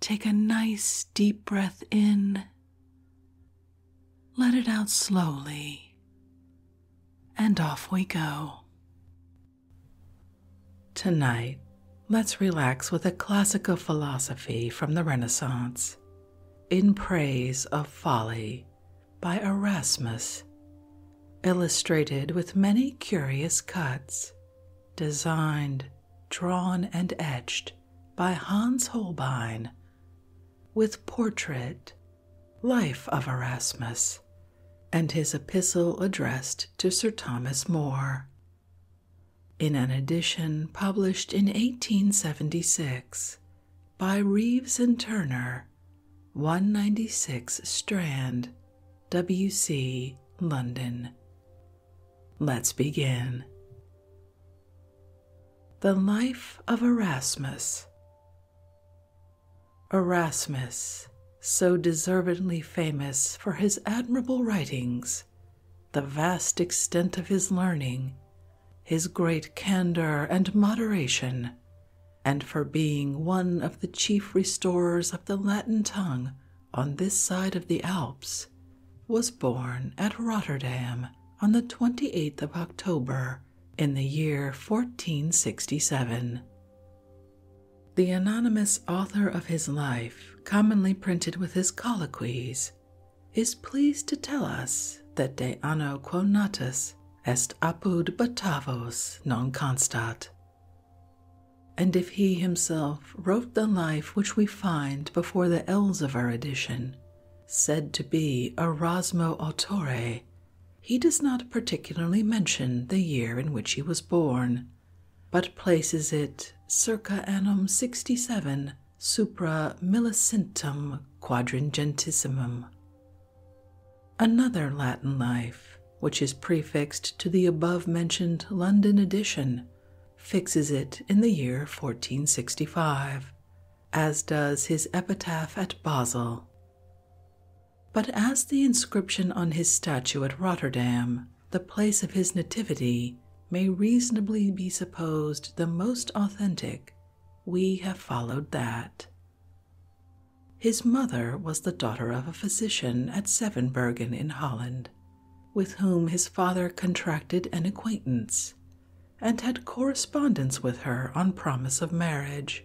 Take a nice deep breath in, let it out slowly, and off we go. Tonight, let's relax with a classical philosophy from the Renaissance in praise of folly by Erasmus, illustrated with many curious cuts, designed, drawn, and etched by Hans Holbein, with Portrait, Life of Erasmus, and his epistle addressed to Sir Thomas More. In an edition published in 1876 by Reeves and Turner, 196 Strand, W.C., London, Let's begin. The Life of Erasmus. Erasmus, so deservedly famous for his admirable writings, the vast extent of his learning, his great candor and moderation, and for being one of the chief restorers of the Latin tongue on this side of the Alps, was born at Rotterdam on the 28th of October in the year 1467. The anonymous author of his life, commonly printed with his colloquies, is pleased to tell us that de anno quo natus est apud Batavos non constat. And if he himself wrote the life which we find before the Elzevir edition, said to be Erasmo Autore. He does not particularly mention the year in which he was born, but places it circa annum 67 supra millicentum quadragentissimum. Another Latin life, which is prefixed to the above mentioned London edition, fixes it in the year 1465, as does his epitaph at Basel. But as the inscription on his statue at Rotterdam, the place of his nativity, may reasonably be supposed the most authentic, we have followed that. His mother was the daughter of a physician at Sevenbergen in Holland, with whom his father contracted an acquaintance, and had correspondence with her on promise of marriage,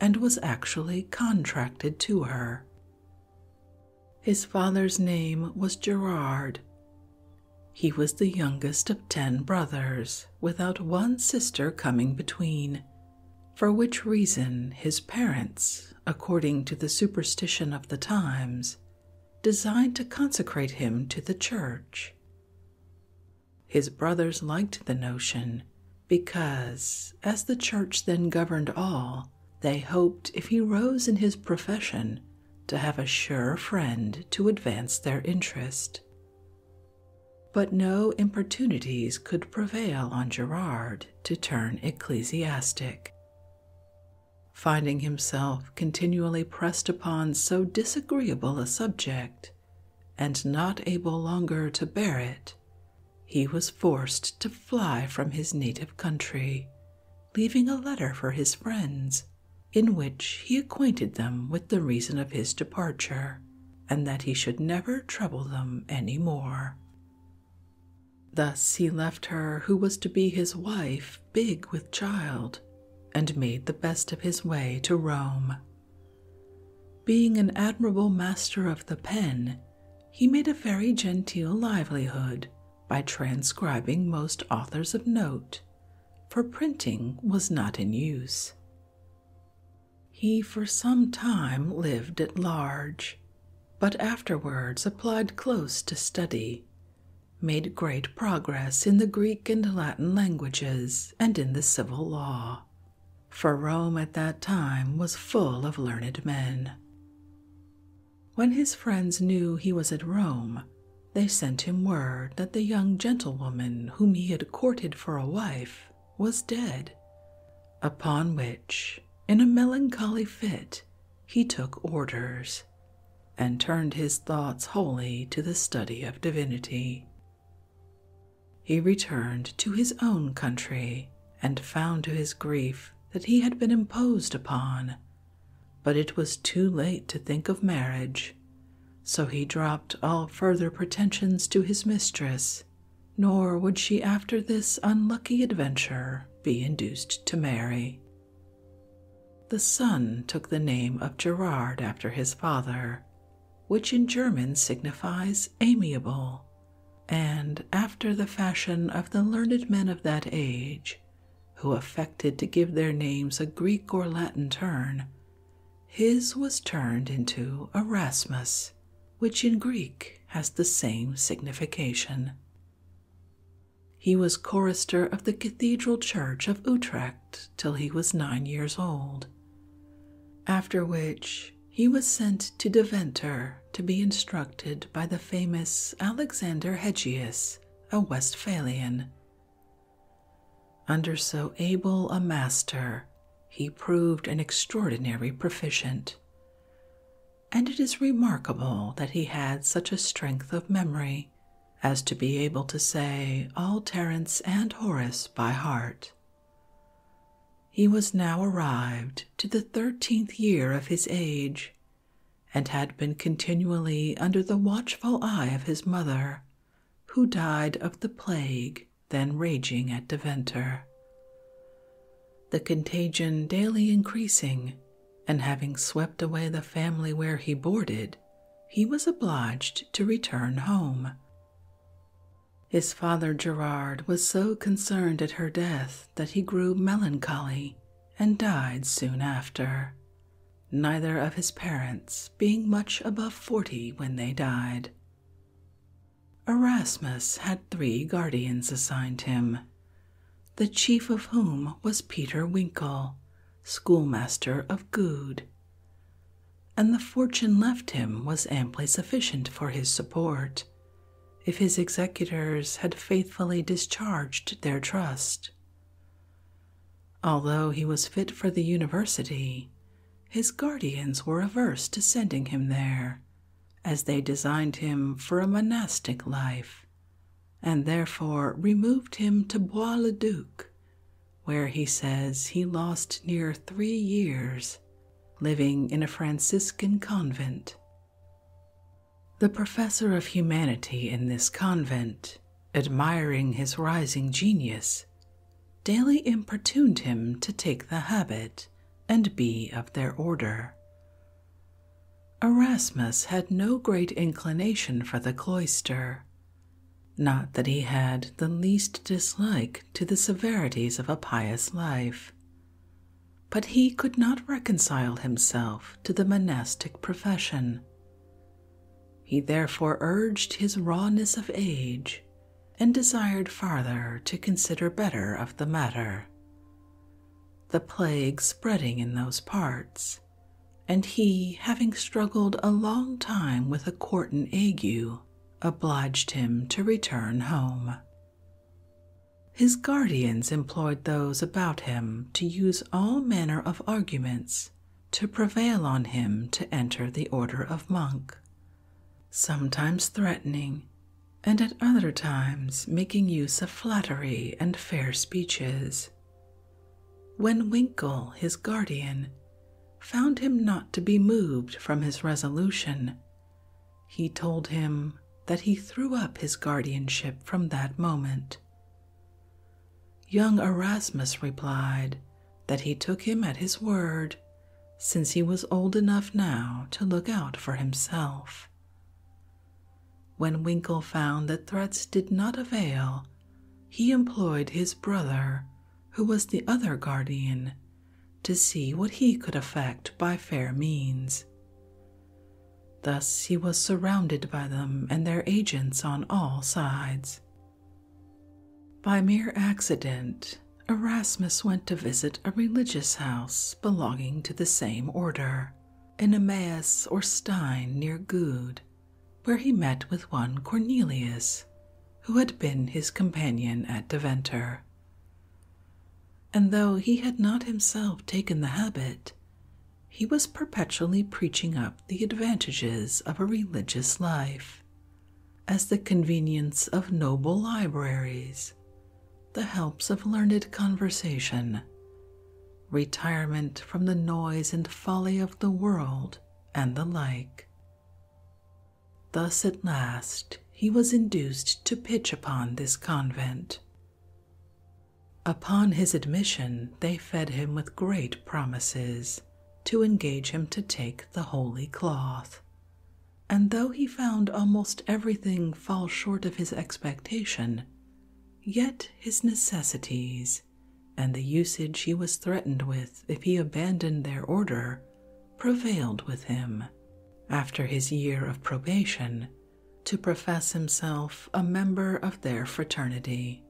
and was actually contracted to her. His father's name was Gerard. He was the youngest of ten brothers, without one sister coming between, for which reason his parents, according to the superstition of the times, designed to consecrate him to the church. His brothers liked the notion because, as the church then governed all, they hoped if he rose in his profession to have a sure friend to advance their interest. But no importunities could prevail on Gerard to turn ecclesiastic finding himself continually pressed upon so disagreeable a subject and not able longer to bear it, he was forced to fly from his native country, leaving a letter for his friends in which he acquainted them with the reason of his departure and that he should never trouble them any more. Thus he left her who was to be his wife, big with child, and made the best of his way to Rome. Being an admirable master of the pen, he made a very genteel livelihood by transcribing most authors of note, for printing was not in use. He for some time lived at large, but afterwards applied close to study, made great progress in the Greek and Latin languages and in the civil law, for Rome at that time was full of learned men. When his friends knew he was at Rome, they sent him word that the young gentlewoman whom he had courted for a wife was dead, upon which, in a melancholy fit, he took orders, and turned his thoughts wholly to the study of divinity. He returned to his own country and found to his grief that he had been imposed upon, but it was too late to think of marriage, so he dropped all further pretensions to his mistress, nor would she after this unlucky adventure be induced to marry. The son took the name of Gerard after his father, which in German signifies amiable, and after the fashion of the learned men of that age, who affected to give their names a Greek or Latin turn, his was turned into Erasmus, which in Greek has the same signification. He was chorister of the Cathedral Church of Utrecht till he was nine years old, after which he was sent to Deventer to be instructed by the famous Alexander Hegius, a Westphalian. Under so able a master, he proved an extraordinary proficient and it is remarkable that he had such a strength of memory as to be able to say all Terence and Horace by heart. He was now arrived to the thirteenth year of his age, and had been continually under the watchful eye of his mother, who died of the plague then raging at Deventer. The contagion daily increasing and having swept away the family where he boarded, he was obliged to return home. His father Gerard was so concerned at her death that he grew melancholy and died soon after, neither of his parents being much above forty when they died. Erasmus had three guardians assigned him, the chief of whom was Peter Winkle, schoolmaster of Goode. And the fortune left him was amply sufficient for his support, if his executors had faithfully discharged their trust. Although he was fit for the university, his guardians were averse to sending him there, as they designed him for a monastic life, and therefore removed him to Bois le Duc, where he says he lost near three years living in a Franciscan convent. The professor of humanity in this convent, admiring his rising genius, daily importuned him to take the habit and be of their order, Erasmus had no great inclination for the cloister. Not that he had the least dislike to the severities of a pious life, but he could not reconcile himself to the monastic profession. He therefore urged his rawness of age and desired farther to consider better of the matter. The plague spreading in those parts, and he, having struggled a long time with a quartan ague, obliged him to return home. His guardians employed those about him to use all manner of arguments to prevail on him to enter the order of monk, sometimes threatening, and at other times making use of flattery and fair speeches. When Winkle, his guardian, found him not to be moved from his resolution, he told him that he threw up his guardianship from that moment. Young Erasmus replied that he took him at his word, since he was old enough now to look out for himself. When Winkle found that threats did not avail, he employed his brother, who was the other guardian, to see what he could effect by fair means. Thus he was surrounded by them and their agents on all sides. By mere accident, Erasmus went to visit a religious house belonging to the same order, in Emmaus or Stein near Goud, where he met with one Cornelius, who had been his companion at Deventer. And though he had not himself taken the habit, he was perpetually preaching up the advantages of a religious life, as the convenience of noble libraries, the helps of learned conversation, retirement from the noise and folly of the world, and the like. Thus at last he was induced to pitch upon this convent. Upon his admission, they fed him with great promises to engage him to take the holy cloth. And though he found almost everything fall short of his expectation, Yet his necessities and the usage he was threatened with if he abandoned their order prevailed with him, after his year of probation, to profess himself a member of their fraternity.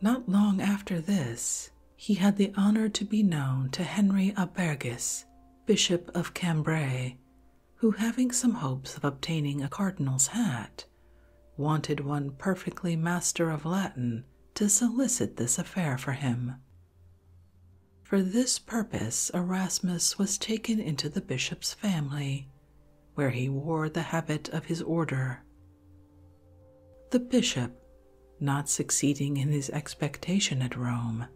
Not long after this, he had the honor to be known to Henry Abergis, Bishop of Cambrai, who, having some hopes of obtaining a cardinal's hat, wanted one perfectly master of Latin to solicit this affair for him. For this purpose, Erasmus was taken into the bishop's family, where he wore the habit of his order. The bishop, not succeeding in his expectation at Rome,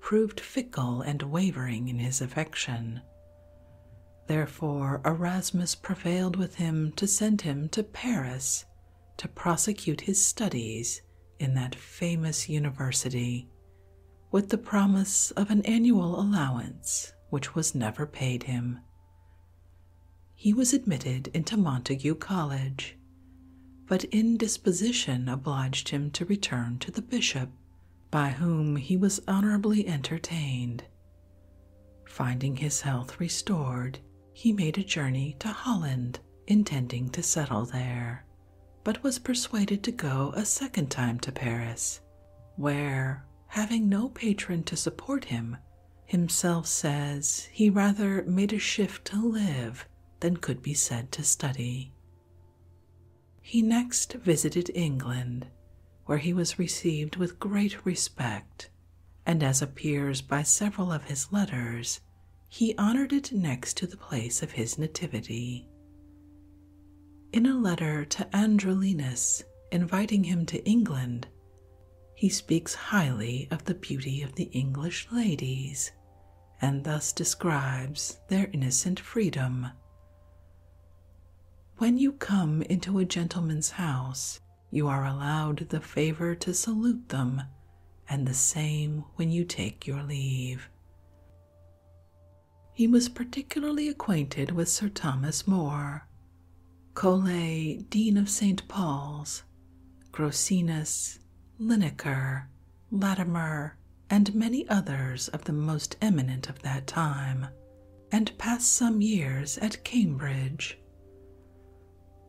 proved fickle and wavering in his affection. Therefore, Erasmus prevailed with him to send him to Paris to prosecute his studies in that famous university, with the promise of an annual allowance which was never paid him. He was admitted into Montague College, but indisposition obliged him to return to the bishop by whom he was honorably entertained. Finding his health restored, he made a journey to Holland, intending to settle there, but was persuaded to go a second time to Paris, where, having no patron to support him, himself says he rather made a shift to live than could be said to study. He next visited England, where he was received with great respect, and as appears by several of his letters, he honored it next to the place of his nativity. In a letter to Androlinus inviting him to England, he speaks highly of the beauty of the English ladies, and thus describes their innocent freedom. When you come into a gentleman's house, you are allowed the favor to salute them, and the same when you take your leave. He was particularly acquainted with Sir Thomas More, Cole, Dean of St. Paul's, Grocinus, Linacre, Latimer, and many others of the most eminent of that time and passed some years at Cambridge.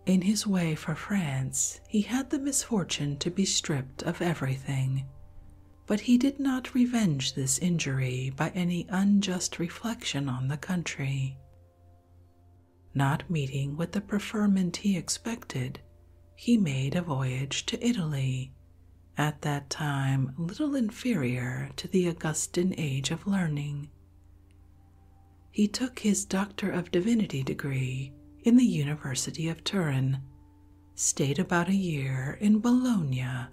In his way for France, he had the misfortune to be stripped of everything, but he did not revenge this injury by any unjust reflection on the country. Not meeting with the preferment he expected, he made a voyage to Italy at that time little inferior to the Augustan age of learning. He took his Doctor of Divinity degree in the University of Turin, stayed about a year in Bologna,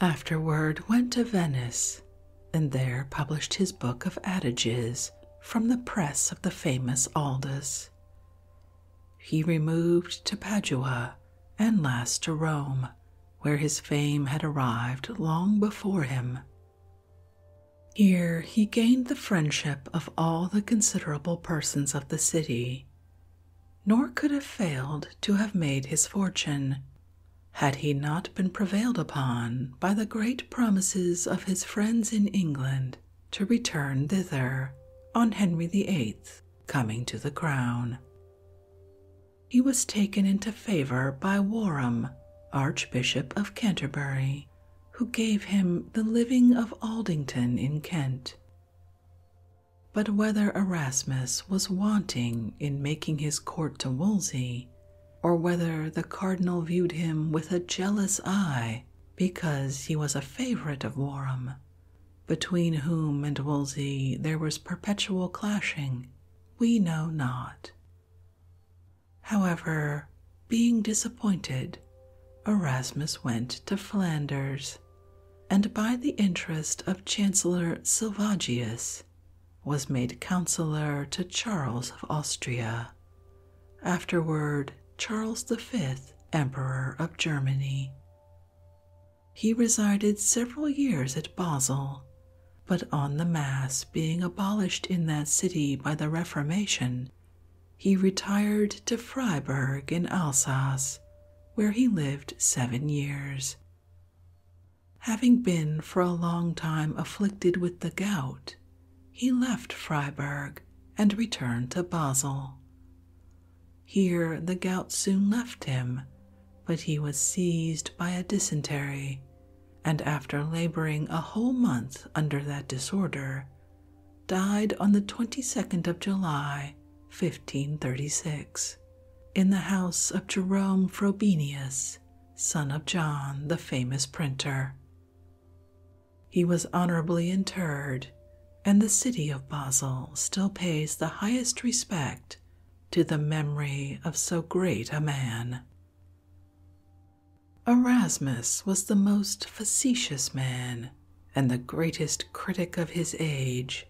afterward went to Venice, and there published his book of adages from the press of the famous Aldus he removed to Padua and last to Rome, where his fame had arrived long before him. Here he gained the friendship of all the considerable persons of the city, nor could have failed to have made his fortune had he not been prevailed upon by the great promises of his friends in England to return thither on Henry VIII coming to the crown. He was taken into favour by Warham, Archbishop of Canterbury, who gave him the living of Aldington in Kent. But whether Erasmus was wanting in making his court to Wolsey, or whether the cardinal viewed him with a jealous eye because he was a favourite of Warham, between whom and Wolsey there was perpetual clashing, we know not. However, being disappointed, Erasmus went to Flanders, and by the interest of Chancellor Silvagius was made counsellor to Charles of Austria, afterward Charles V, Emperor of Germany. He resided several years at Basel, but on the Mass being abolished in that city by the Reformation, he retired to Freiburg in Alsace, where he lived seven years. Having been for a long time afflicted with the gout, he left Freiburg and returned to Basel. Here the gout soon left him, but he was seized by a dysentery, and after laboring a whole month under that disorder, died on the 22nd of July, 1536, in the house of Jerome Frobenius, son of John, the famous printer. He was honorably interred and the city of Basel still pays the highest respect to the memory of so great a man. Erasmus was the most facetious man and the greatest critic of his age.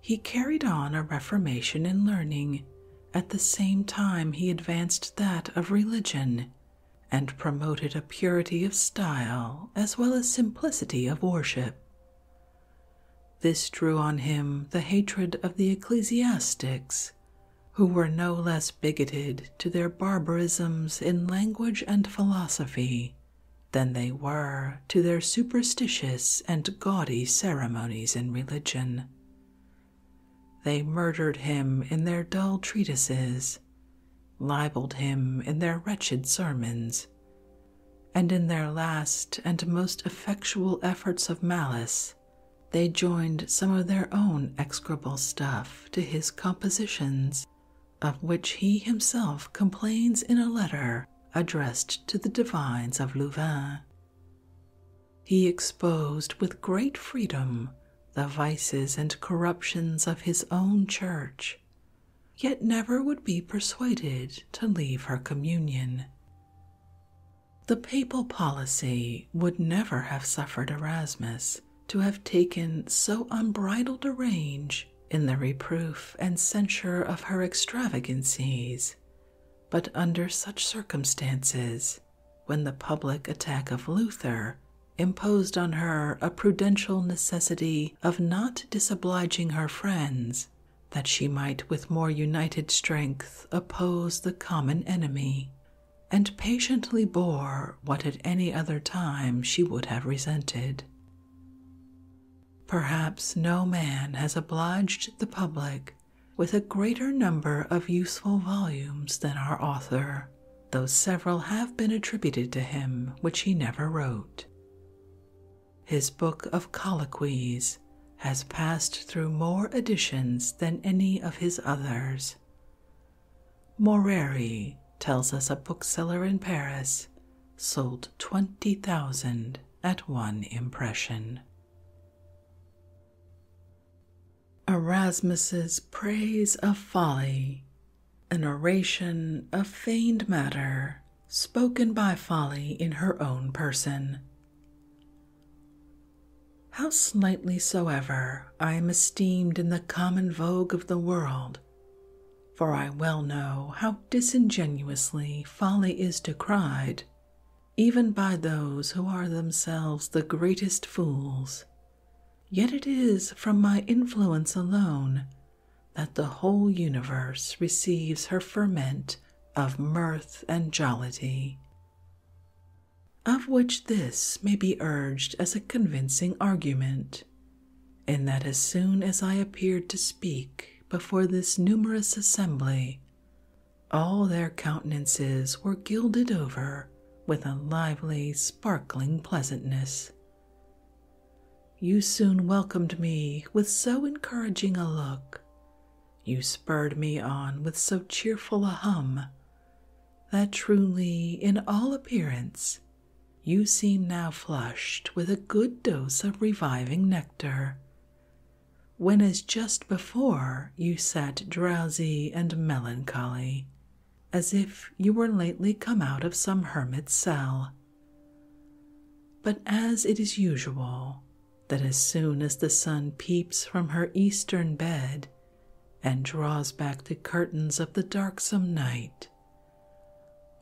He carried on a reformation in learning at the same time he advanced that of religion and promoted a purity of style as well as simplicity of worship. This drew on him the hatred of the ecclesiastics, who were no less bigoted to their barbarisms in language and philosophy than they were to their superstitious and gaudy ceremonies in religion. They murdered him in their dull treatises, libeled him in their wretched sermons, and in their last and most effectual efforts of malice, they joined some of their own execrable stuff to his compositions, of which he himself complains in a letter addressed to the divines of Louvain. He exposed with great freedom the vices and corruptions of his own church, yet never would be persuaded to leave her communion. The papal policy would never have suffered Erasmus to have taken so unbridled a range in the reproof and censure of her extravagancies, but under such circumstances, when the public attack of Luther imposed on her a prudential necessity of not disobliging her friends that she might with more united strength oppose the common enemy, and patiently bore what at any other time she would have resented. Perhaps no man has obliged the public with a greater number of useful volumes than our author, though several have been attributed to him which he never wrote. His book of colloquies has passed through more editions than any of his others. Moreri tells us a bookseller in Paris sold 20,000 at one impression. Erasmus's Praise of Folly, an oration of feigned matter spoken by Folly in her own person. How slightly soever I am esteemed in the common vogue of the world, for I well know how disingenuously folly is decried, even by those who are themselves the greatest fools. Yet it is from my influence alone that the whole universe receives her ferment of mirth and jollity, of which this may be urged as a convincing argument, in that as soon as I appeared to speak before this numerous assembly, all their countenances were gilded over with a lively, sparkling pleasantness you soon welcomed me with so encouraging a look, you spurred me on with so cheerful a hum, that truly, in all appearance, you seem now flushed with a good dose of reviving nectar, when as just before you sat drowsy and melancholy, as if you were lately come out of some hermit's cell. But as it is usual, that as soon as the sun peeps from her eastern bed and draws back the curtains of the darksome night,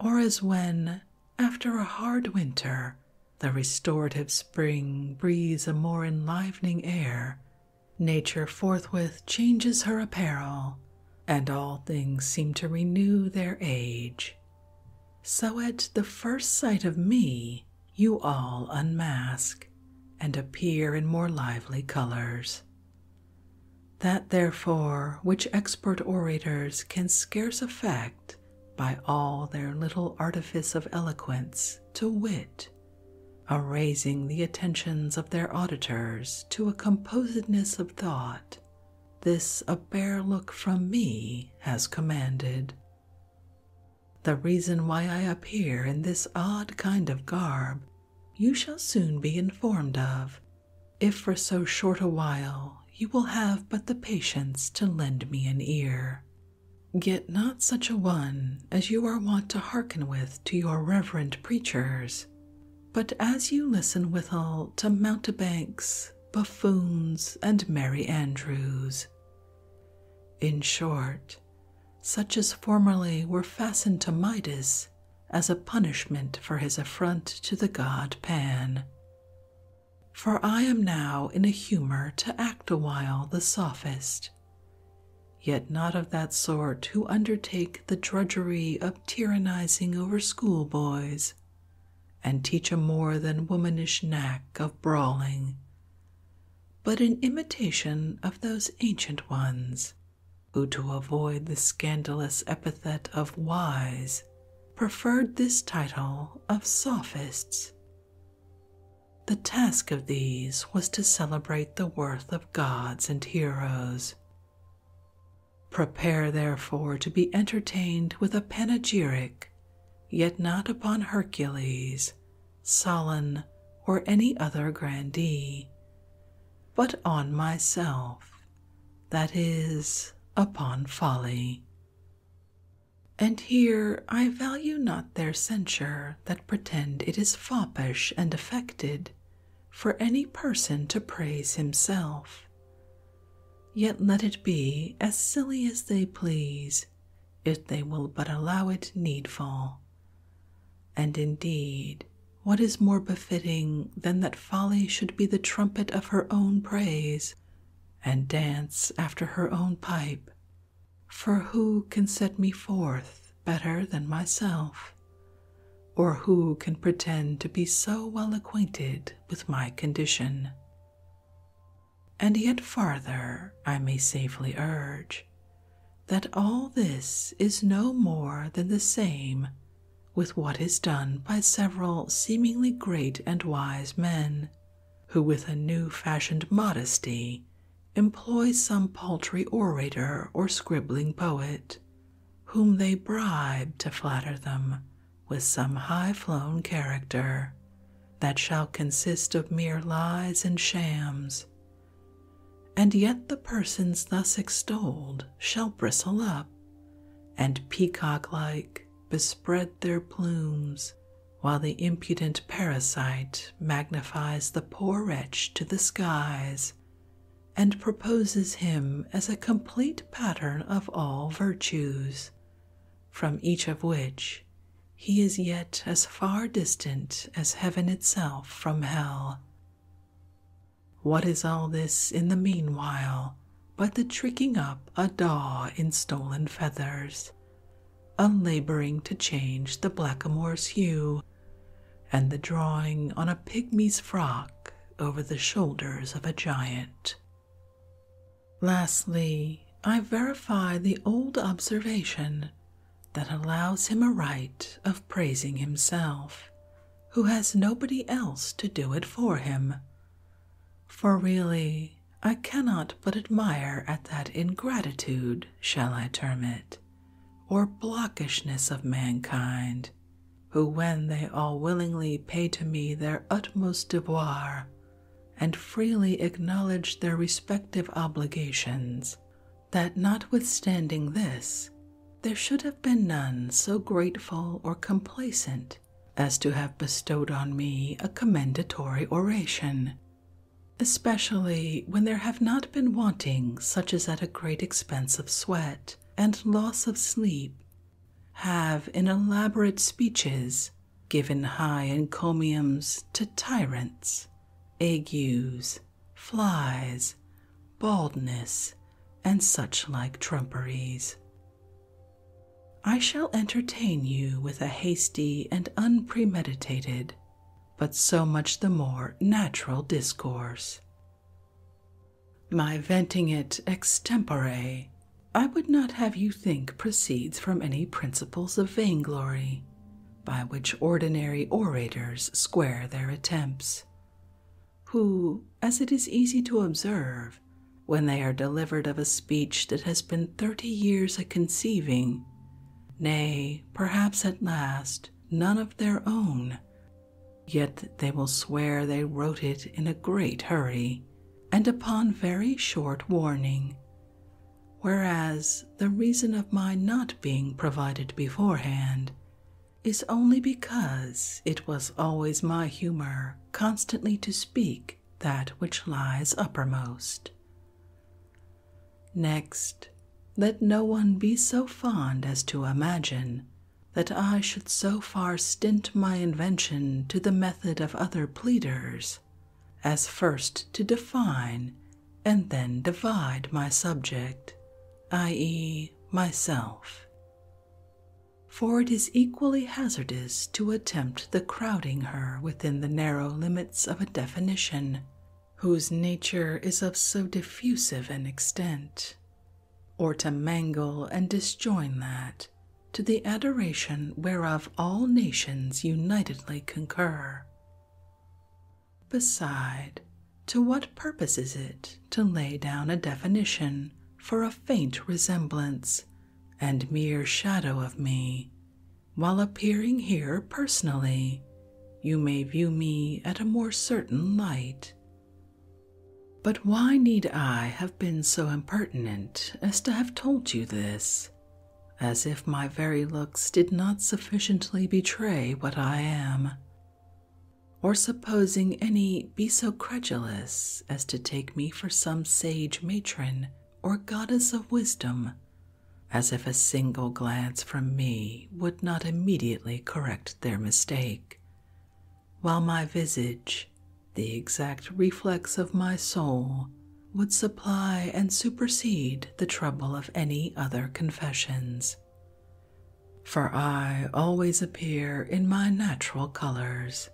or as when, after a hard winter, the restorative spring breathes a more enlivening air, nature forthwith changes her apparel, and all things seem to renew their age. So at the first sight of me, you all unmask and appear in more lively colors. That, therefore, which expert orators can scarce effect by all their little artifice of eloquence, to wit, Erasing the attentions of their auditors to a composedness of thought this a bare look from me has commanded. The reason why I appear in this odd kind of garb you shall soon be informed of, if for so short a while you will have but the patience to lend me an ear. Get not such a one as you are wont to hearken with to your reverend preachers, but as you listen withal to mountebanks buffoons, and merry andrews. In short, such as formerly were fastened to Midas as a punishment for his affront to the god Pan. For I am now in a humour to act awhile the sophist, yet not of that sort who undertake the drudgery of tyrannizing over schoolboys and teach a more than womanish knack of brawling, but an imitation of those ancient ones who, to avoid the scandalous epithet of wise, preferred this title of sophists. The task of these was to celebrate the worth of gods and heroes. Prepare, therefore, to be entertained with a panegyric, yet not upon Hercules, Solon, or any other grandee, but on myself, that is, upon folly. And here I value not their censure that pretend it is foppish and affected for any person to praise himself, Yet let it be as silly as they please, if they will but allow it needful. And indeed, what is more befitting than that folly should be the trumpet of her own praise, and dance after her own pipe? For who can set me forth better than myself? Or who can pretend to be so well acquainted with my condition. And yet farther, I may safely urge that all this is no more than the same with what is done by several seemingly great and wise men, who with a new fashioned modesty employ some paltry orator or scribbling poet, whom they bribe to flatter them with some high flown character that shall consist of mere lies and shams. And yet the persons thus extolled shall bristle up, and peacock like bespread their plumes, while the impudent parasite magnifies the poor wretch to the skies, and proposes him as a complete pattern of all virtues, from each of which he is yet as far distant as heaven itself from hell. What is all this in the meanwhile but the tricking up a daw in stolen feathers, a to change the blackamoor's hue, and the drawing on a pigmy's frock over the shoulders of a giant? Lastly, I verify the old observation that allows him a right of praising himself, who has nobody else to do it for him. For really, I cannot but admire at that ingratitude, shall I term it, or blockishness of mankind who, when they all willingly pay to me their utmost devoir and freely acknowledge their respective obligations, that notwithstanding this, there should have been none so grateful or complaisant as to have bestowed on me a commendatory oration, especially when there have not been wanting such as at a great expense of sweat and loss of sleep have in elaborate speeches given high encomiums to tyrants, agues, flies, baldness, and such like trumperies. I shall entertain you with a hasty and unpremeditated, but so much the more natural discourse. My venting it extempore, I would not have you think proceeds from any principles of vainglory, by which ordinary orators square their attempts, who, as it is easy to observe, when they are delivered of a speech that has been thirty years a conceiving, nay, perhaps at last, none of their own, yet they will swear they wrote it in a great hurry, and upon very short warning, whereas the reason of my not being provided beforehand is only because it was always my humour constantly to speak that which lies uppermost. Next, let no one be so fond as to imagine that I should so far stint my invention to the method of other pleaders as first to define and then divide my subject, i.e., myself. For it is equally hazardous to attempt the crowding her within the narrow limits of a definition whose nature is of so diffusive an extent or to mangle and disjoin that to the adoration whereof all nations unitedly concur. Beside, to what purpose is it to lay down a definition for a faint resemblance and mere shadow of me, while appearing here personally? You may view me at a more certain light, but why need I have been so impertinent as to have told you this, as if my very looks did not sufficiently betray what I am? Or supposing any be so credulous as to take me for some sage matron or goddess of wisdom, as if a single glance from me would not immediately correct their mistake, while my visage, the exact reflex of my soul, would supply and supersede the trouble of any other confessions. For I always appear in my natural colors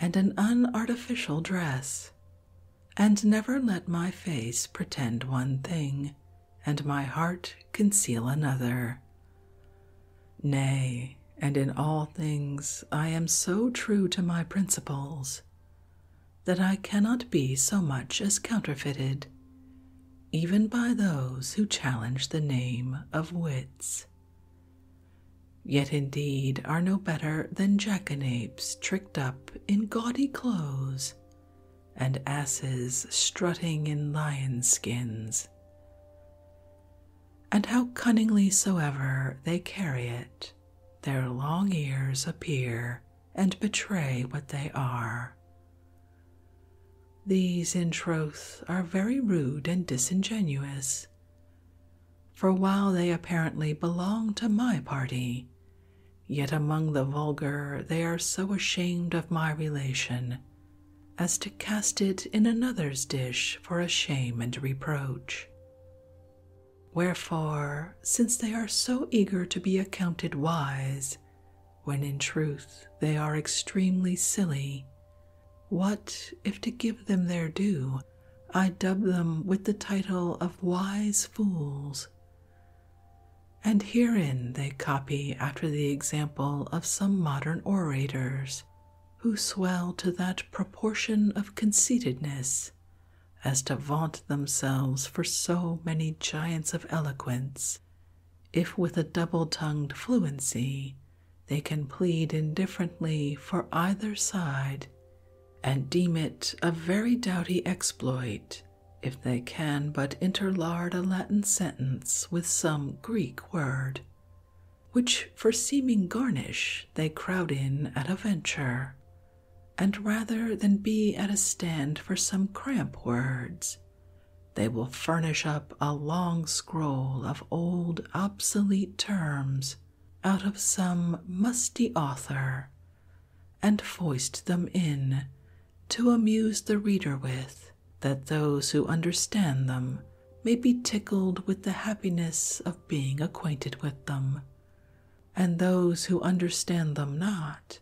and an unartificial dress, and never let my face pretend one thing and my heart conceal another. Nay, and in all things I am so true to my principles that I cannot be so much as counterfeited, even by those who challenge the name of wits. Yet indeed are no better than jackanapes tricked up in gaudy clothes and asses strutting in lion skins and how cunningly soever they carry it, their long ears appear and betray what they are. These, in truth, are very rude and disingenuous. For while they apparently belong to my party, yet among the vulgar they are so ashamed of my relation as to cast it in another's dish for a shame and reproach. Wherefore, since they are so eager to be accounted wise, when in truth they are extremely silly, what if to give them their due I dub them with the title of wise fools? And herein they copy after the example of some modern orators who swell to that proportion of conceitedness as to vaunt themselves for so many giants of eloquence, if with a double tongued fluency they can plead indifferently for either side, and deem it a very doughty exploit if they can but interlard a Latin sentence with some Greek word, which for seeming garnish they crowd in at a venture, and rather than be at a stand for some cramp words, they will furnish up a long scroll of old obsolete terms out of some musty author, and foist them in to amuse the reader with, that those who understand them may be tickled with the happiness of being acquainted with them, and those who understand them not,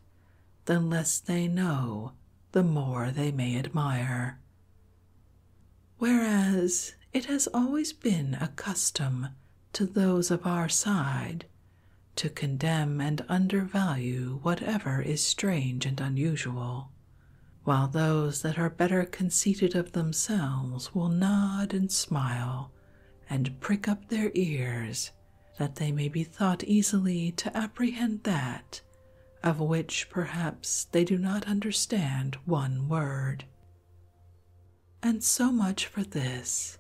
the less they know, the more they may admire. Whereas it has always been a custom to those of our side to condemn and undervalue whatever is strange and unusual while those that are better conceited of themselves will nod and smile and prick up their ears that they may be thought easily to apprehend that of which perhaps they do not understand one word. And so much for this.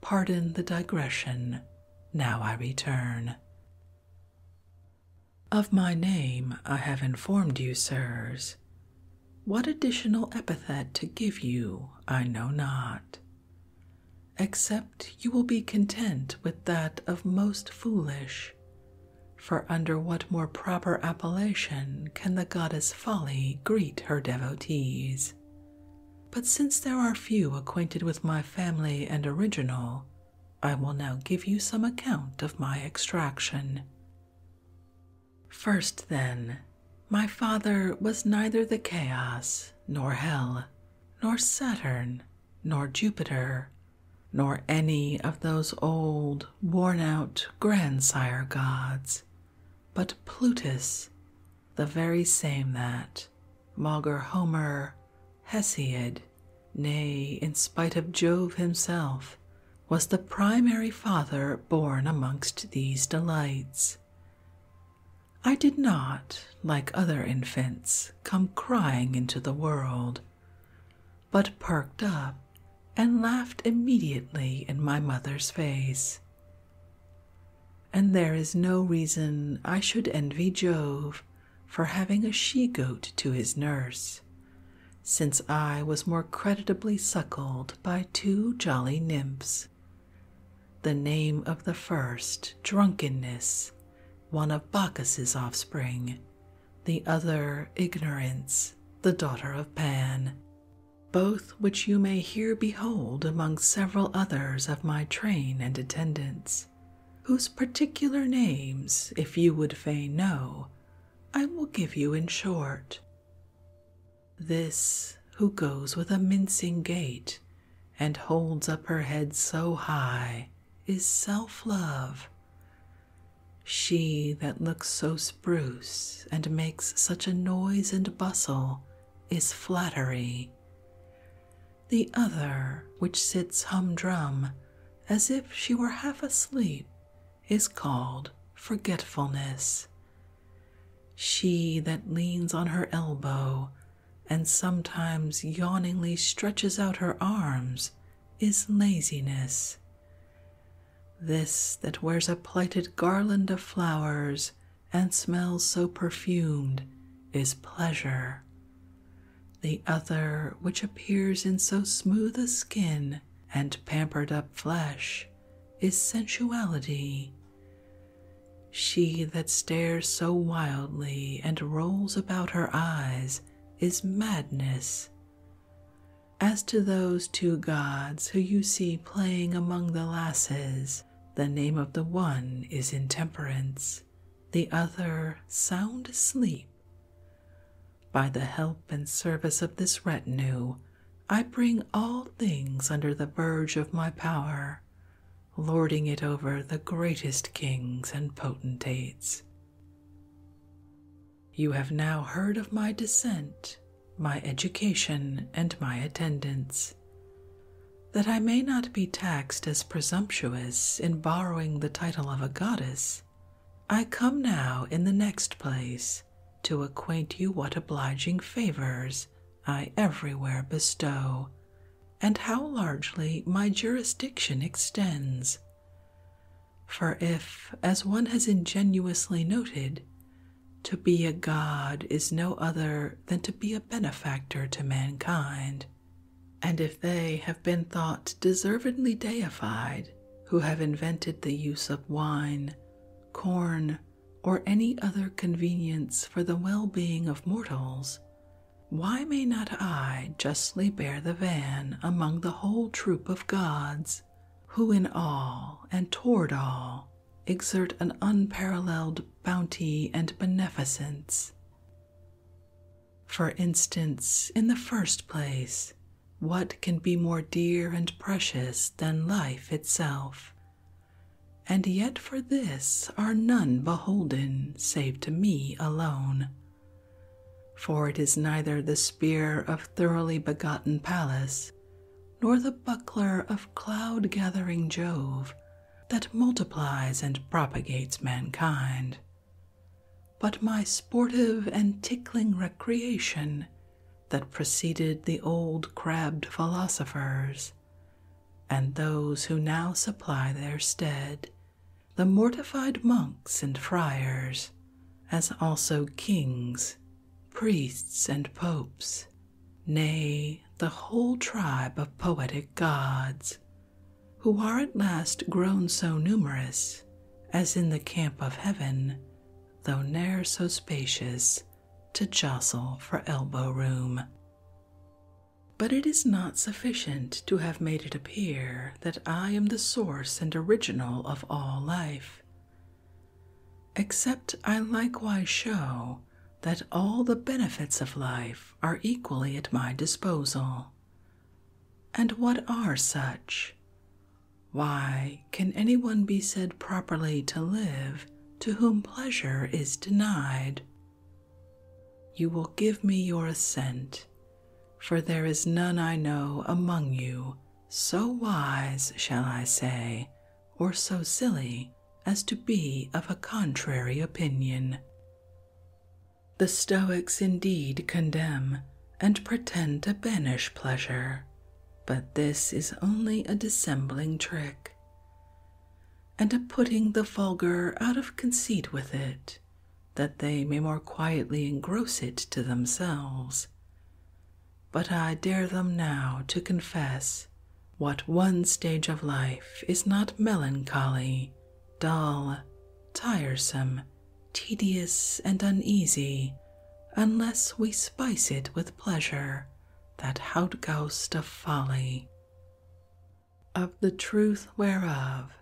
Pardon the digression. Now I return. Of my name I have informed you, sirs. What additional epithet to give you I know not, except you will be content with that of most foolish. For under what more proper appellation can the goddess Folly greet her devotees? But since there are few acquainted with my family and original, I will now give you some account of my extraction, First, then, my father was neither the chaos, nor hell, nor Saturn, nor Jupiter, nor any of those old, worn out grandsire gods, but Plutus, the very same that maugre Homer, Hesiod, nay, in spite of Jove himself, was the primary father born amongst these delights. I did not, like other infants, come crying into the world, but perked up and laughed immediately in my mother's face. And there is no reason I should envy Jove for having a she goat to his nurse, since I was more creditably suckled by two jolly nymphs. The name of the first, Drunkenness, one of Bacchus's offspring, the other, Ignorance, the daughter of Pan, both which you may here behold among several others of my train and attendants, whose particular names, if you would fain know, I will give you in short. This who goes with a mincing gait and holds up her head so high is self love. She that looks so spruce and makes such a noise and bustle is flattery. The other, which sits humdrum as if she were half asleep, is called forgetfulness. She that leans on her elbow and sometimes yawningly stretches out her arms is laziness. This that wears a plighted garland of flowers and smells so perfumed is pleasure. The other, which appears in so smooth a skin, and pampered up flesh is sensuality. She that stares so wildly and rolls about her eyes is madness. As to those two gods who you see playing among the lasses, the name of the one is intemperance, the other sound sleep. By the help and service of this retinue, I bring all things under the verge of my power, lording it over the greatest kings and potentates. You have now heard of my descent, my education, and my attendance. That I may not be taxed as presumptuous in borrowing the title of a goddess, I come now in the next place to acquaint you what obliging favors I everywhere bestow, and how largely my jurisdiction extends. For if, as one has ingenuously noted, to be a god is no other than to be a benefactor to mankind, and if they have been thought deservedly deified, who have invented the use of wine, corn, or any other convenience for the well being of mortals, why may not I justly bear the van among the whole troop of gods, who in all and toward all exert an unparalleled bounty and beneficence? For instance, in the first place, what can be more dear and precious than life itself? And yet for this are none beholden save to me alone. For it is neither the spear of thoroughly begotten Pallas, nor the buckler of cloud gathering Jove, that multiplies and propagates mankind. But my sportive and tickling recreation that preceded the old crabbed philosophers, and those who now supply their stead, the mortified monks and friars, as also kings, priests, and popes, nay, the whole tribe of poetic gods, who are at last grown so numerous as in the camp of heaven, though ne'er so spacious to jostle for elbow room. But it is not sufficient to have made it appear that I am the source and original of all life, except I likewise show that all the benefits of life are equally at my disposal. And what are such? Why can anyone be said properly to live to whom pleasure is denied? You will give me your assent, for there is none I know among you so wise, shall I say, or so silly as to be of a contrary opinion. The Stoics indeed condemn and pretend to banish pleasure, but this is only a dissembling trick, and a putting the vulgar out of conceit with it, that they may more quietly engross it to themselves. But I dare them now to confess what one stage of life is not melancholy, dull, tiresome, tedious and uneasy, unless we spice it with pleasure, that Hautgaust of folly. Of the truth whereof,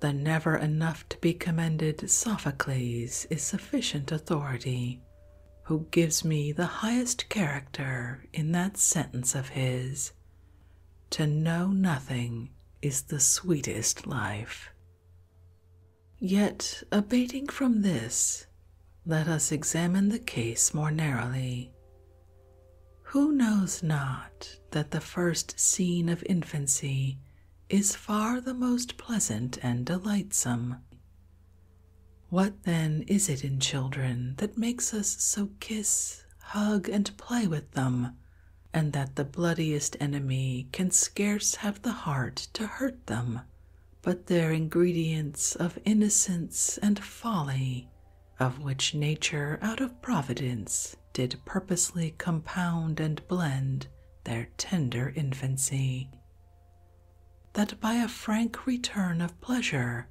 the never enough to be commended Sophocles is sufficient authority, who gives me the highest character in that sentence of his To know nothing is the sweetest life. Yet, abating from this, let us examine the case more narrowly. Who knows not that the first scene of infancy is far the most pleasant and delightsome? What then is it in children that makes us so kiss, hug, and play with them and that the bloodiest enemy can scarce have the heart to hurt them, but their ingredients of innocence and folly, of which nature out of providence did purposely compound and blend their tender infancy, that by a frank return of pleasure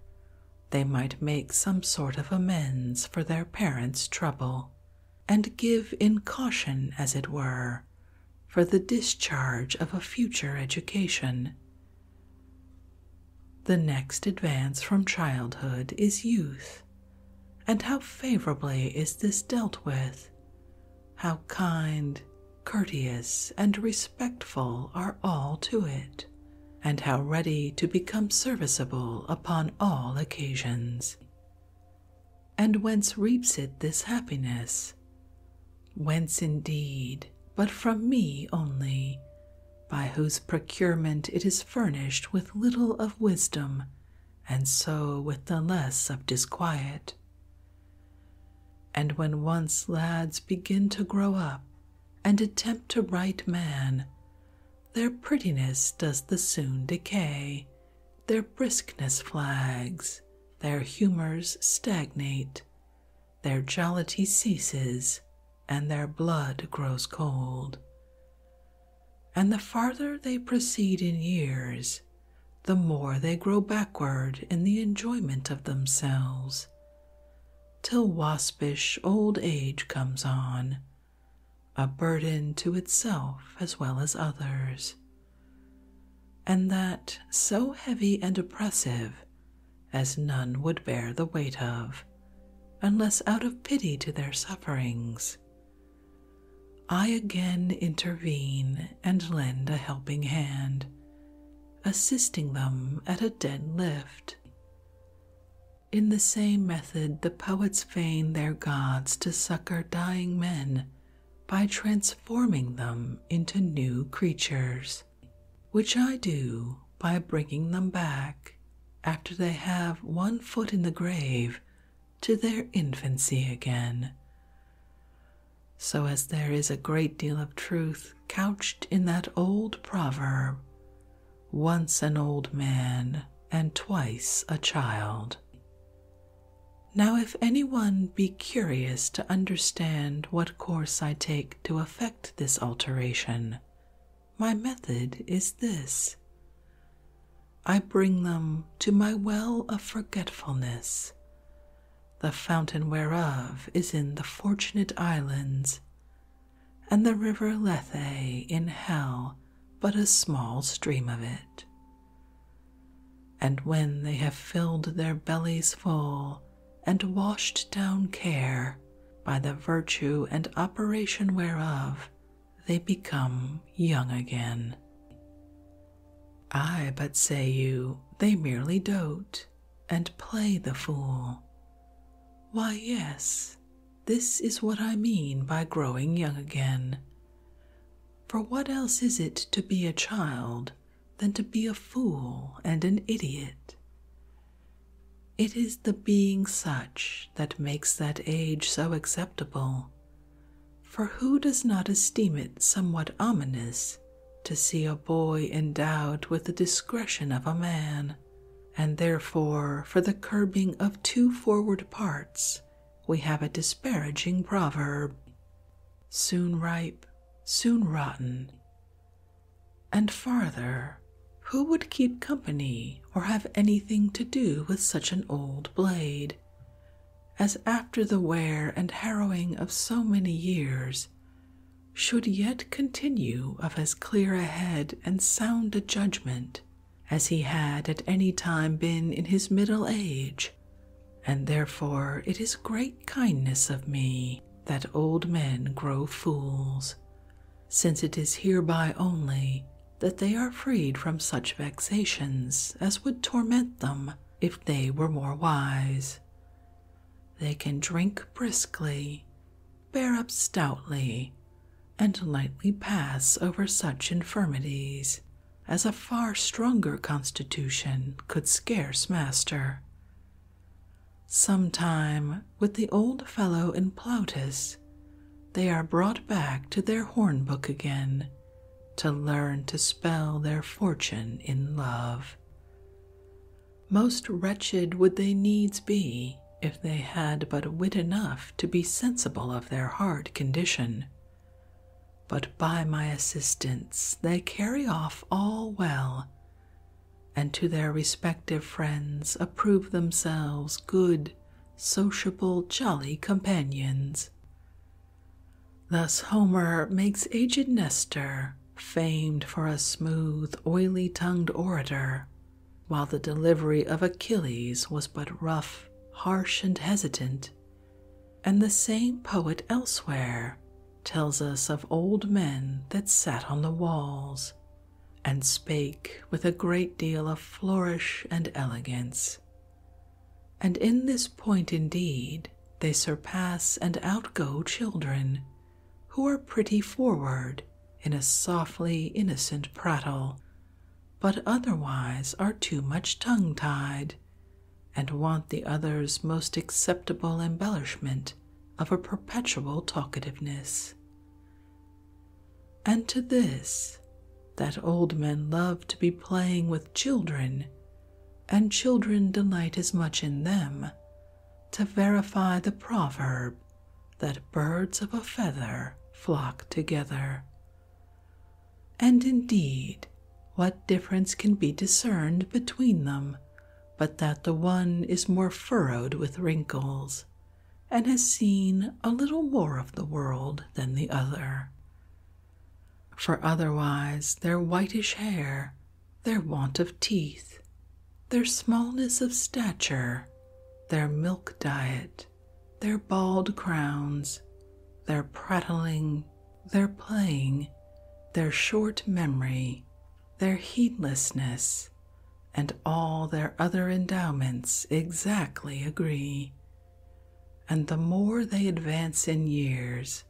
they might make some sort of amends for their parents' trouble and give in caution, as it were, for the discharge of a future education. The next advance from childhood is youth, and how favorably is this dealt with? How kind, courteous, and respectful are all to it, and how ready to become serviceable upon all occasions and whence reaps it this happiness? Whence indeed, but from me only, by whose procurement it is furnished with little of wisdom, and so with the less of disquiet. And when once lads begin to grow up and attempt to write man, their prettiness does the soon decay, their briskness flags, their humours stagnate, their jollity ceases, and their blood grows cold. And the farther they proceed in years, the more they grow backward in the enjoyment of themselves, till waspish old age comes on, a burden to itself as well as others, and that so heavy and oppressive as none would bear the weight of, unless out of pity to their sufferings. I again intervene and lend a helping hand, assisting them at a dead lift. In the same method, the poets feign their gods to succor dying men by transforming them into new creatures, which I do by bringing them back after they have one foot in the grave to their infancy again. So, as there is a great deal of truth couched in that old proverb, once an old man and twice a child, now, if any one be curious to understand what course I take to effect this alteration, my method is this I bring them to my well of forgetfulness, the fountain whereof is in the Fortunate Islands, and the river Lethe in hell but a small stream of it. And when they have filled their bellies full and washed down care, by the virtue and operation whereof, they become young again. I but say you, they merely dote and play the fool. Why, yes, this is what I mean by growing young again. For what else is it to be a child than to be a fool and an idiot? It is the being such that makes that age so acceptable, for who does not esteem it somewhat ominous to see a boy endowed with the discretion of a man, and therefore for the curbing of two forward parts we have a disparaging proverb soon ripe, soon rotten. And farther, who would keep company or have anything to do with such an old blade? As after the wear and harrowing of so many years, should yet continue of as clear a head and sound a judgment as he had at any time been in his middle age, and therefore it is great kindness of me that old men grow fools, since it is hereby only that they are freed from such vexations as would torment them if they were more wise. They can drink briskly, bear up stoutly, and lightly pass over such infirmities as a far stronger constitution could scarce master. Sometime, with the old fellow in Plautus, they are brought back to their hornbook again to learn to spell their fortune in love. Most wretched would they needs be if they had but wit enough to be sensible of their hard condition but by my assistance they carry off all well, and to their respective friends approve themselves good, sociable, jolly companions. Thus Homer makes aged Nestor famed for a smooth, oily tongued orator, while the delivery of Achilles was but rough, harsh, and hesitant, and the same poet elsewhere tells us of old men that sat on the walls and spake with a great deal of flourish and elegance. And in this point, indeed, they surpass and outgo children who are pretty forward in a softly innocent prattle but otherwise are too much tongue tied, and want the other's most acceptable embellishment of a perpetual talkativeness. And to this, that old men love to be playing with children, and children delight as much in them, to verify the proverb that birds of a feather flock together. And indeed, what difference can be discerned between them but that the one is more furrowed with wrinkles and has seen a little more of the world than the other? For otherwise, their whitish hair, their want of teeth, their smallness of stature, their milk diet, their bald crowns, their prattling, their playing, their short memory, their heedlessness, and all their other endowments exactly agree. And the more they advance in years,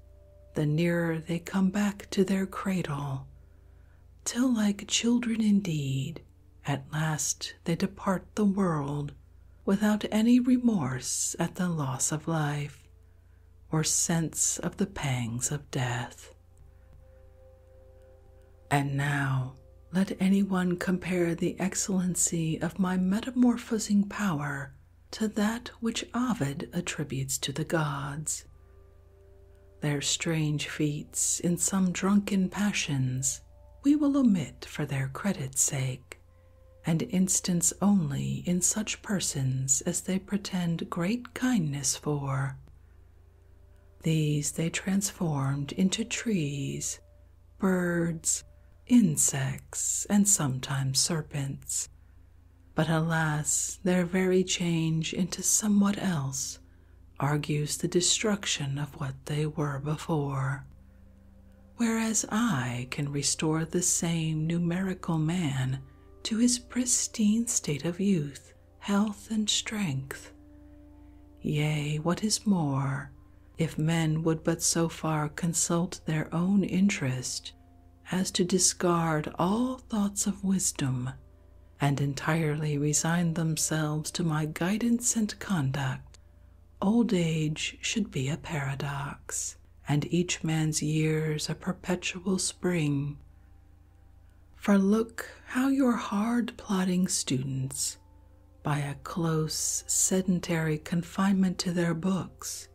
the nearer they come back to their cradle, till, like children indeed, at last they depart the world without any remorse at the loss of life or sense of the pangs of death. And now let anyone compare the excellency of my metamorphosing power to that which Ovid attributes to the gods. Their strange feats in some drunken passions we will omit for their credit's sake. And instance only in such persons as they pretend great kindness for. These they transformed into trees, birds, insects, and sometimes serpents. But alas, their very change into somewhat else argues the destruction of what they were before whereas I can restore the same numerical man to his pristine state of youth, health, and strength. Yea, what is more, if men would but so far consult their own interest as to discard all thoughts of wisdom and entirely resign themselves to my guidance and conduct, Old age should be a paradox, and each man's years a perpetual spring. For look how your hard plodding students, by a close, sedentary confinement to their books,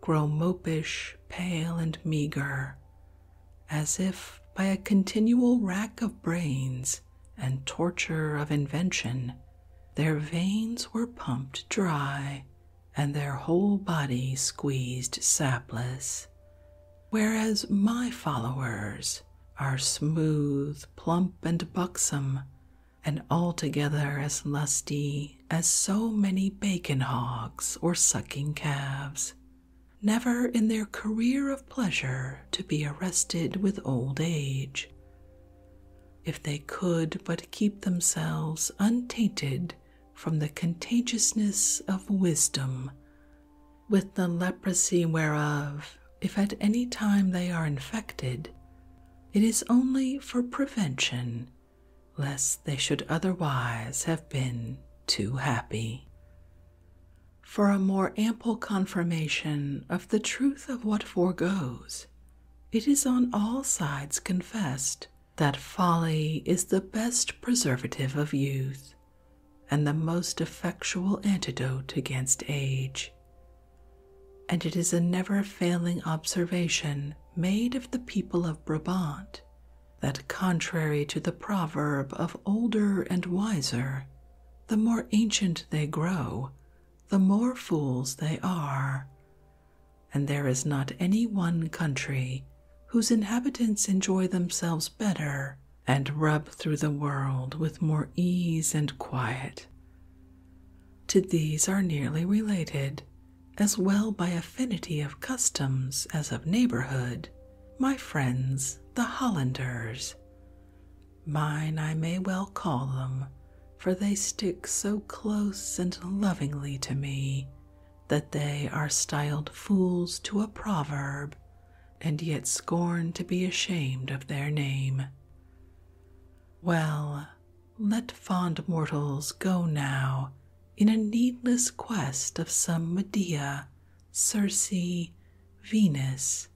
grow mopish, pale, and meagre, as if by a continual rack of brains and torture of invention their veins were pumped dry, and their whole body squeezed sapless, whereas my followers are smooth, plump, and buxom, and altogether as lusty as so many bacon hogs or sucking calves, never in their career of pleasure to be arrested with old age if they could but keep themselves untainted from the contagiousness of wisdom, with the leprosy whereof, if at any time they are infected, it is only for prevention, lest they should otherwise have been too happy. For a more ample confirmation of the truth of what foregoes, it is on all sides confessed that folly is the best preservative of youth and the most effectual antidote against age. And it is a never failing observation made of the people of Brabant that, contrary to the proverb of older and wiser, the more ancient they grow, the more fools they are. And there is not any one country whose inhabitants enjoy themselves better and rub through the world with more ease and quiet. To these are nearly related, as well by affinity of customs as of neighborhood, my friends the Hollanders, Mine I may well call them, for they stick so close and lovingly to me that they are styled fools to a proverb, and yet scorn to be ashamed of their name. Well, let fond mortals go now in a needless quest of some Medea, Circe, Venus,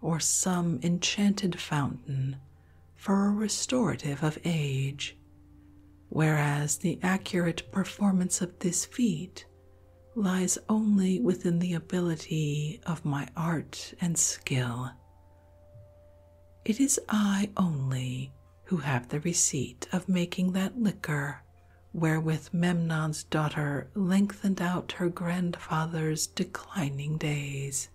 or some enchanted fountain for a restorative of age, whereas the accurate performance of this feat lies only within the ability of my art and skill. It is I only who have the receipt of making that liquor wherewith Memnon's daughter lengthened out her grandfather's declining days,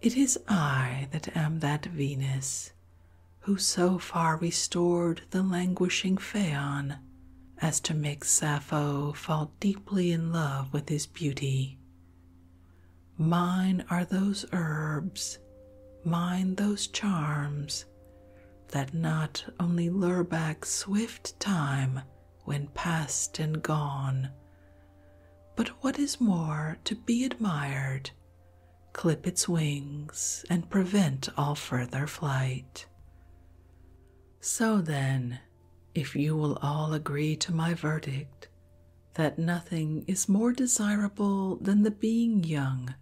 it is I that am that Venus who so far restored the languishing Phaon as to make Sappho fall deeply in love with his beauty. Mine are those herbs, mine those charms, that not only lure back swift time when past and gone. But what is more to be admired, clip its wings and prevent all further flight. So then, if you will all agree to my verdict, that nothing is more desirable than the being young,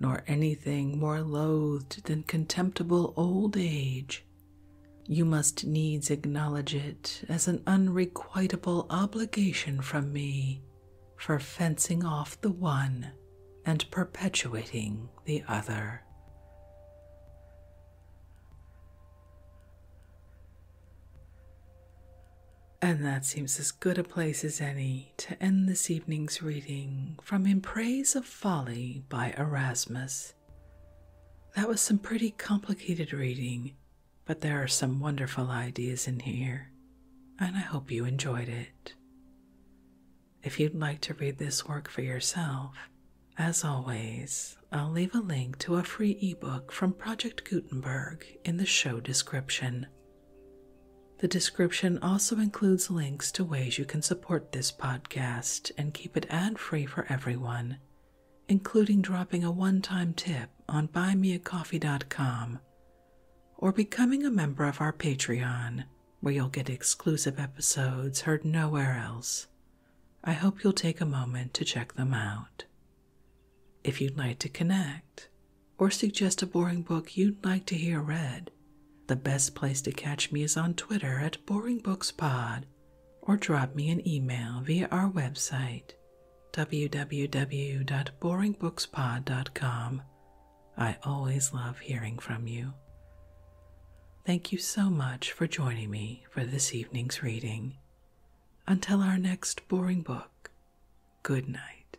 nor anything more loathed than contemptible old age, you must needs acknowledge it as an unrequitable obligation from me for fencing off the one and perpetuating the other. And that seems as good a place as any to end this evening's reading from In Praise of Folly by Erasmus. That was some pretty complicated reading, but there are some wonderful ideas in here, and I hope you enjoyed it. If you'd like to read this work for yourself, as always, I'll leave a link to a free ebook from Project Gutenberg in the show description. The description also includes links to ways you can support this podcast and keep it ad free for everyone including dropping a one time tip on buymeacoffee.com or becoming a member of our Patreon, where you'll get exclusive episodes heard nowhere else. I hope you'll take a moment to check them out. If you'd like to connect or suggest a boring book you'd like to hear read, the best place to catch me is on Twitter at BoringBooksPod or drop me an email via our website www.boringbookspod.com. I always love hearing from you. Thank you so much for joining me for this evening's reading. Until our next boring book, good night.